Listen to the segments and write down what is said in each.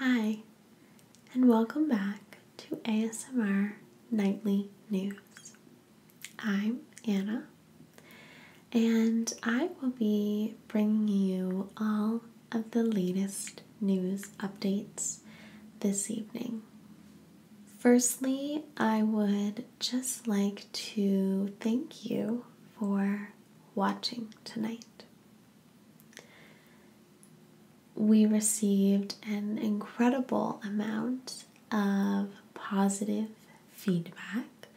Hi, and welcome back to ASMR Nightly News. I'm Anna, and I will be bringing you all of the latest news updates this evening. Firstly, I would just like to thank you for watching tonight. We received an incredible amount of positive feedback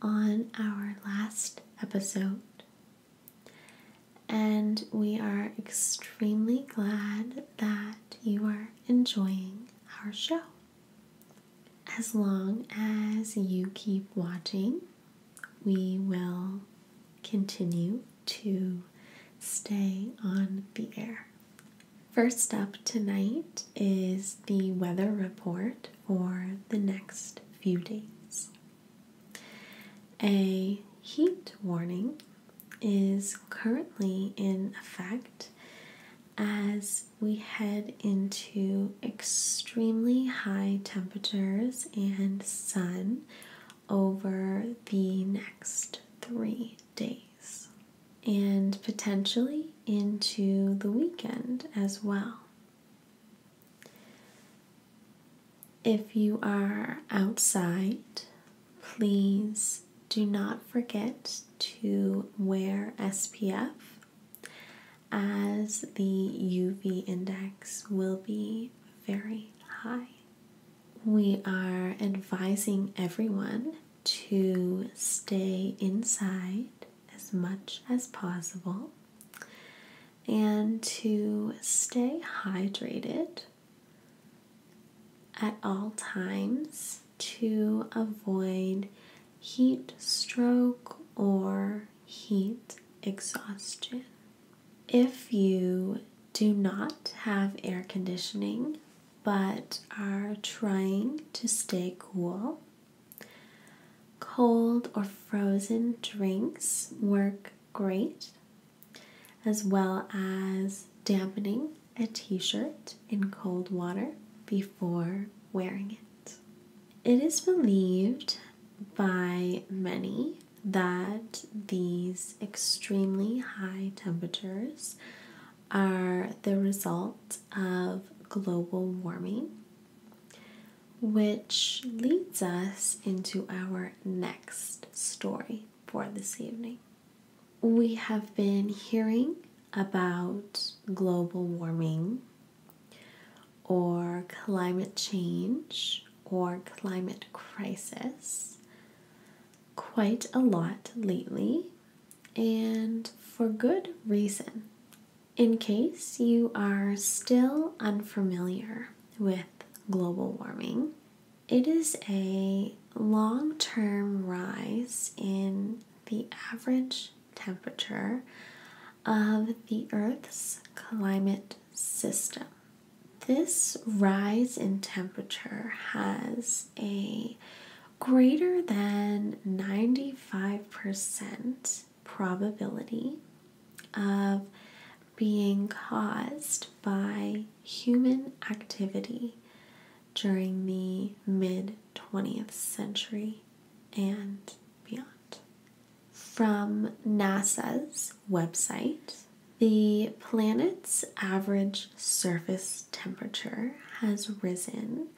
on our last episode, and we are extremely glad that you are enjoying our show. As long as you keep watching, we will continue to stay on the air. First up tonight is the weather report for the next few days. A heat warning is currently in effect as we head into extremely high temperatures and sun over the next three days and potentially into the weekend as well. If you are outside please do not forget to wear SPF as the UV index will be very high. We are advising everyone to stay inside as much as possible and to stay hydrated at all times to avoid heat stroke or heat exhaustion. If you do not have air conditioning but are trying to stay cool, cold or frozen drinks work great, as well as dampening a t shirt in cold water before wearing it. It is believed by many that these extremely high temperatures are the result of global warming, which leads us into our next story for this evening we have been hearing about global warming or climate change or climate crisis quite a lot lately, and for good reason. In case you are still unfamiliar with global warming, it is a long term rise in the average temperature of the Earth's climate system. This rise in temperature has a greater than 95% probability of being caused by human activity during the mid 20th century and beyond. From NASA's website, the planet's average surface temperature has risen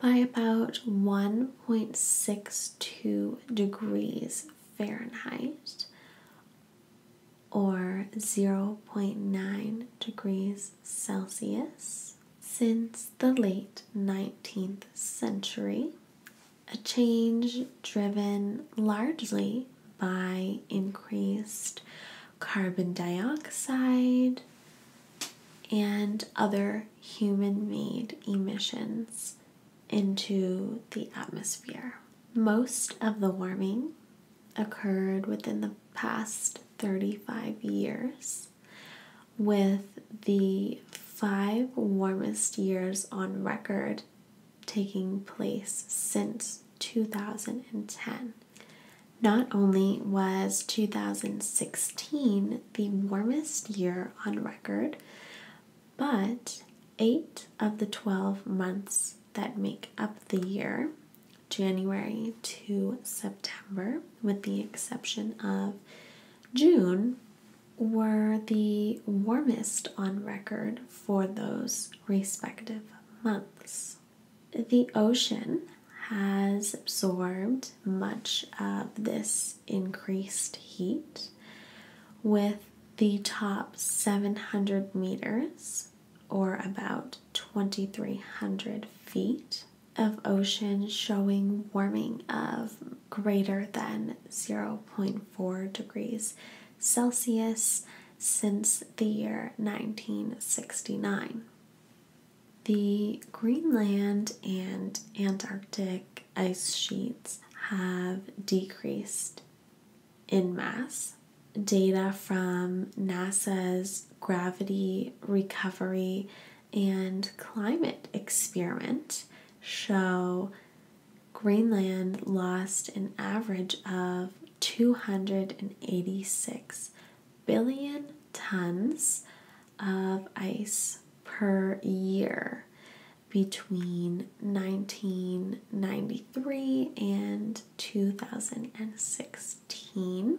by about 1.62 degrees Fahrenheit or 0.9 degrees Celsius since the late 19th century, a change driven largely by increased carbon dioxide and other human made emissions into the atmosphere. Most of the warming occurred within the past 35 years, with the five warmest years on record taking place since 2010. Not only was 2016 the warmest year on record, but eight of the 12 months that make up the year January to September, with the exception of June, were the warmest on record for those respective months. The ocean has absorbed much of this increased heat, with the top 700 meters, or about 2,300 feet, of ocean showing warming of greater than 0.4 degrees Celsius since the year 1969. The Greenland and Antarctic ice sheets have decreased in mass. Data from NASA's gravity recovery and climate experiment show Greenland lost an average of 286 billion tons of ice per year between 1993 and 2016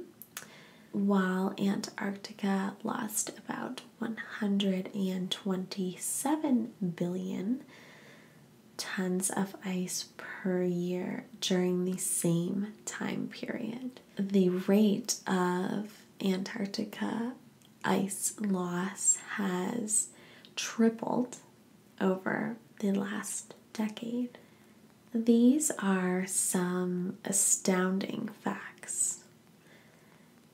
while Antarctica lost about 127 billion tons of ice per year during the same time period. The rate of Antarctica ice loss has tripled over the last decade. These are some astounding facts.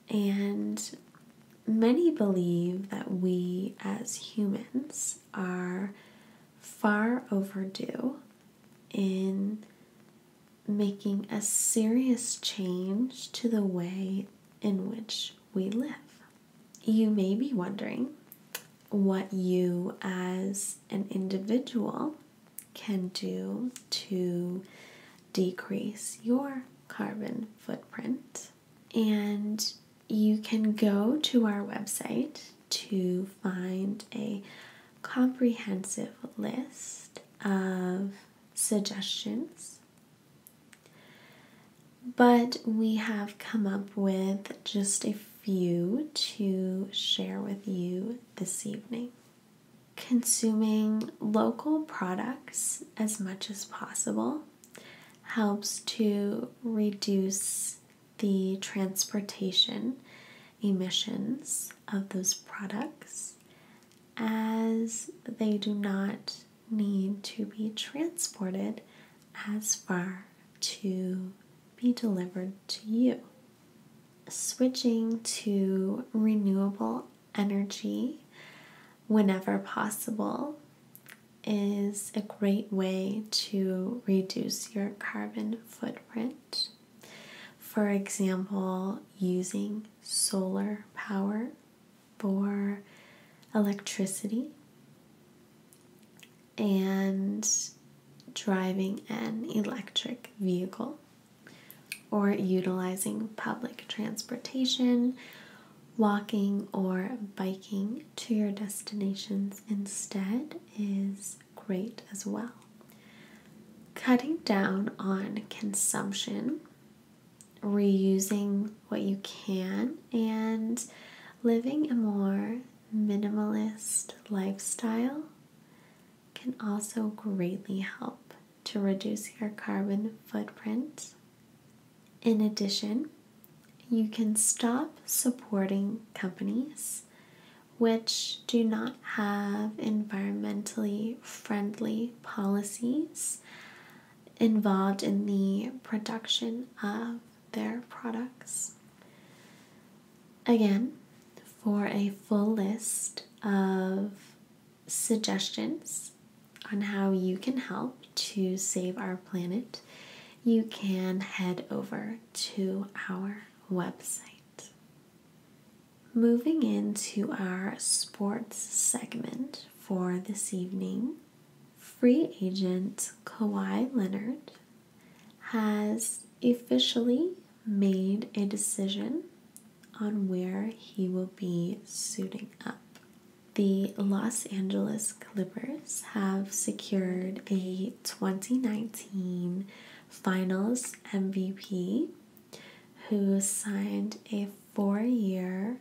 And many believe that we as humans are far overdue in making a serious change to the way in which we live. You may be wondering what you, as an individual, can do to decrease your carbon footprint. And you can go to our website to find a comprehensive list of suggestions. But we have come up with just a few to share with you this evening consuming local products as much as possible helps to reduce the transportation emissions of those products as they do not need to be transported as far to be delivered to you switching to renewable energy whenever possible is a great way to reduce your carbon footprint. For example, using solar power for electricity and driving an electric vehicle or utilizing public transportation, walking or biking to your destinations instead is great as well. Cutting down on consumption, reusing what you can, and living a more minimalist lifestyle can also greatly help to reduce your carbon footprint. In addition, you can stop supporting companies which do not have environmentally friendly policies involved in the production of their products. Again, for a full list of suggestions on how you can help to save our planet, you can head over to our website. Moving into our sports segment for this evening, free agent Kawhi Leonard has officially made a decision on where he will be suiting up. The Los Angeles Clippers have secured a 2019 Finals MVP who signed a four year,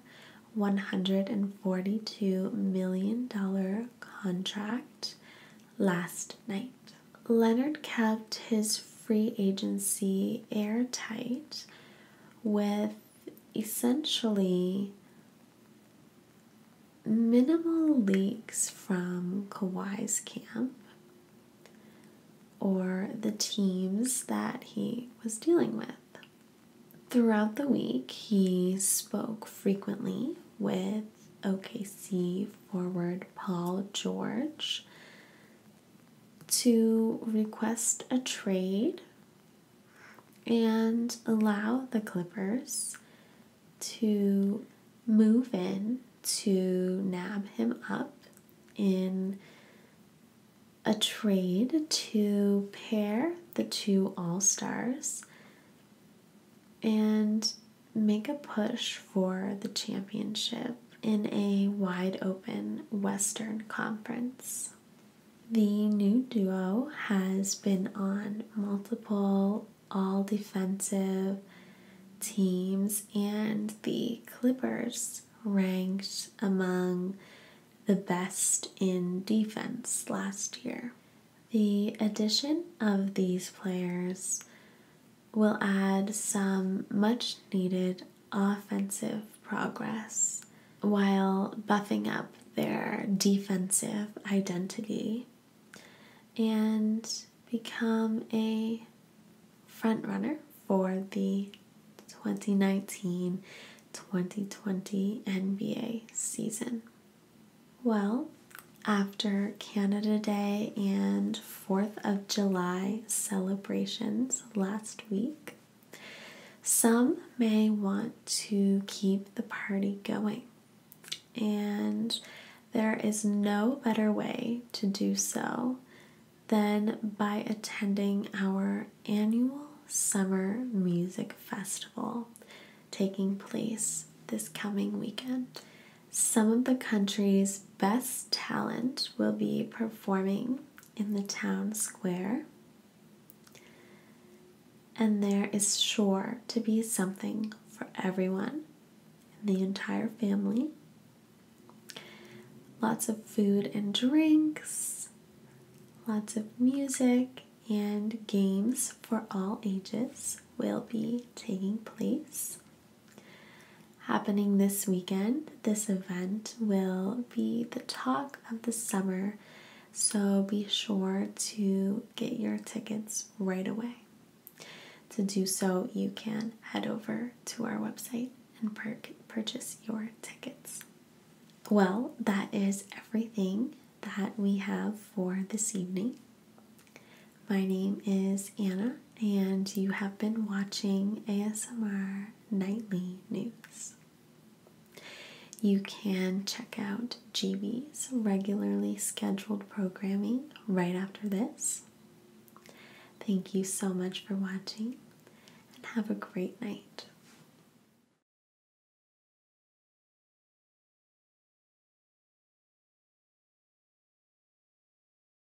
$142 million contract last night. Leonard kept his free agency airtight with essentially minimal leaks from Kawhi's camp or the teams that he was dealing with. Throughout the week, he spoke frequently with OKC forward Paul George to request a trade and allow the Clippers to move in to nab him up in a trade to pair the two All Stars and make a push for the championship in a wide open Western Conference. The new duo has been on multiple all defensive teams, and the Clippers ranked among the best in defense last year. The addition of these players will add some much needed offensive progress while buffing up their defensive identity and become a frontrunner for the 2019 2020 NBA season. Well, after Canada Day and 4th of July celebrations last week. Some may want to keep the party going, and there is no better way to do so than by attending our annual summer music festival taking place this coming weekend. Some of the country's best talent will be performing in the town square, and there is sure to be something for everyone the entire family. Lots of food and drinks, lots of music, and games for all ages will be taking place. Happening this weekend, this event will be the talk of the summer, so be sure to get your tickets right away. To do so, you can head over to our website and purchase your tickets. Well, that is everything that we have for this evening. My name is Anna, and you have been watching ASMR Nightly News. You can check out GB's regularly scheduled programming right after this. Thank you so much for watching and have a great night.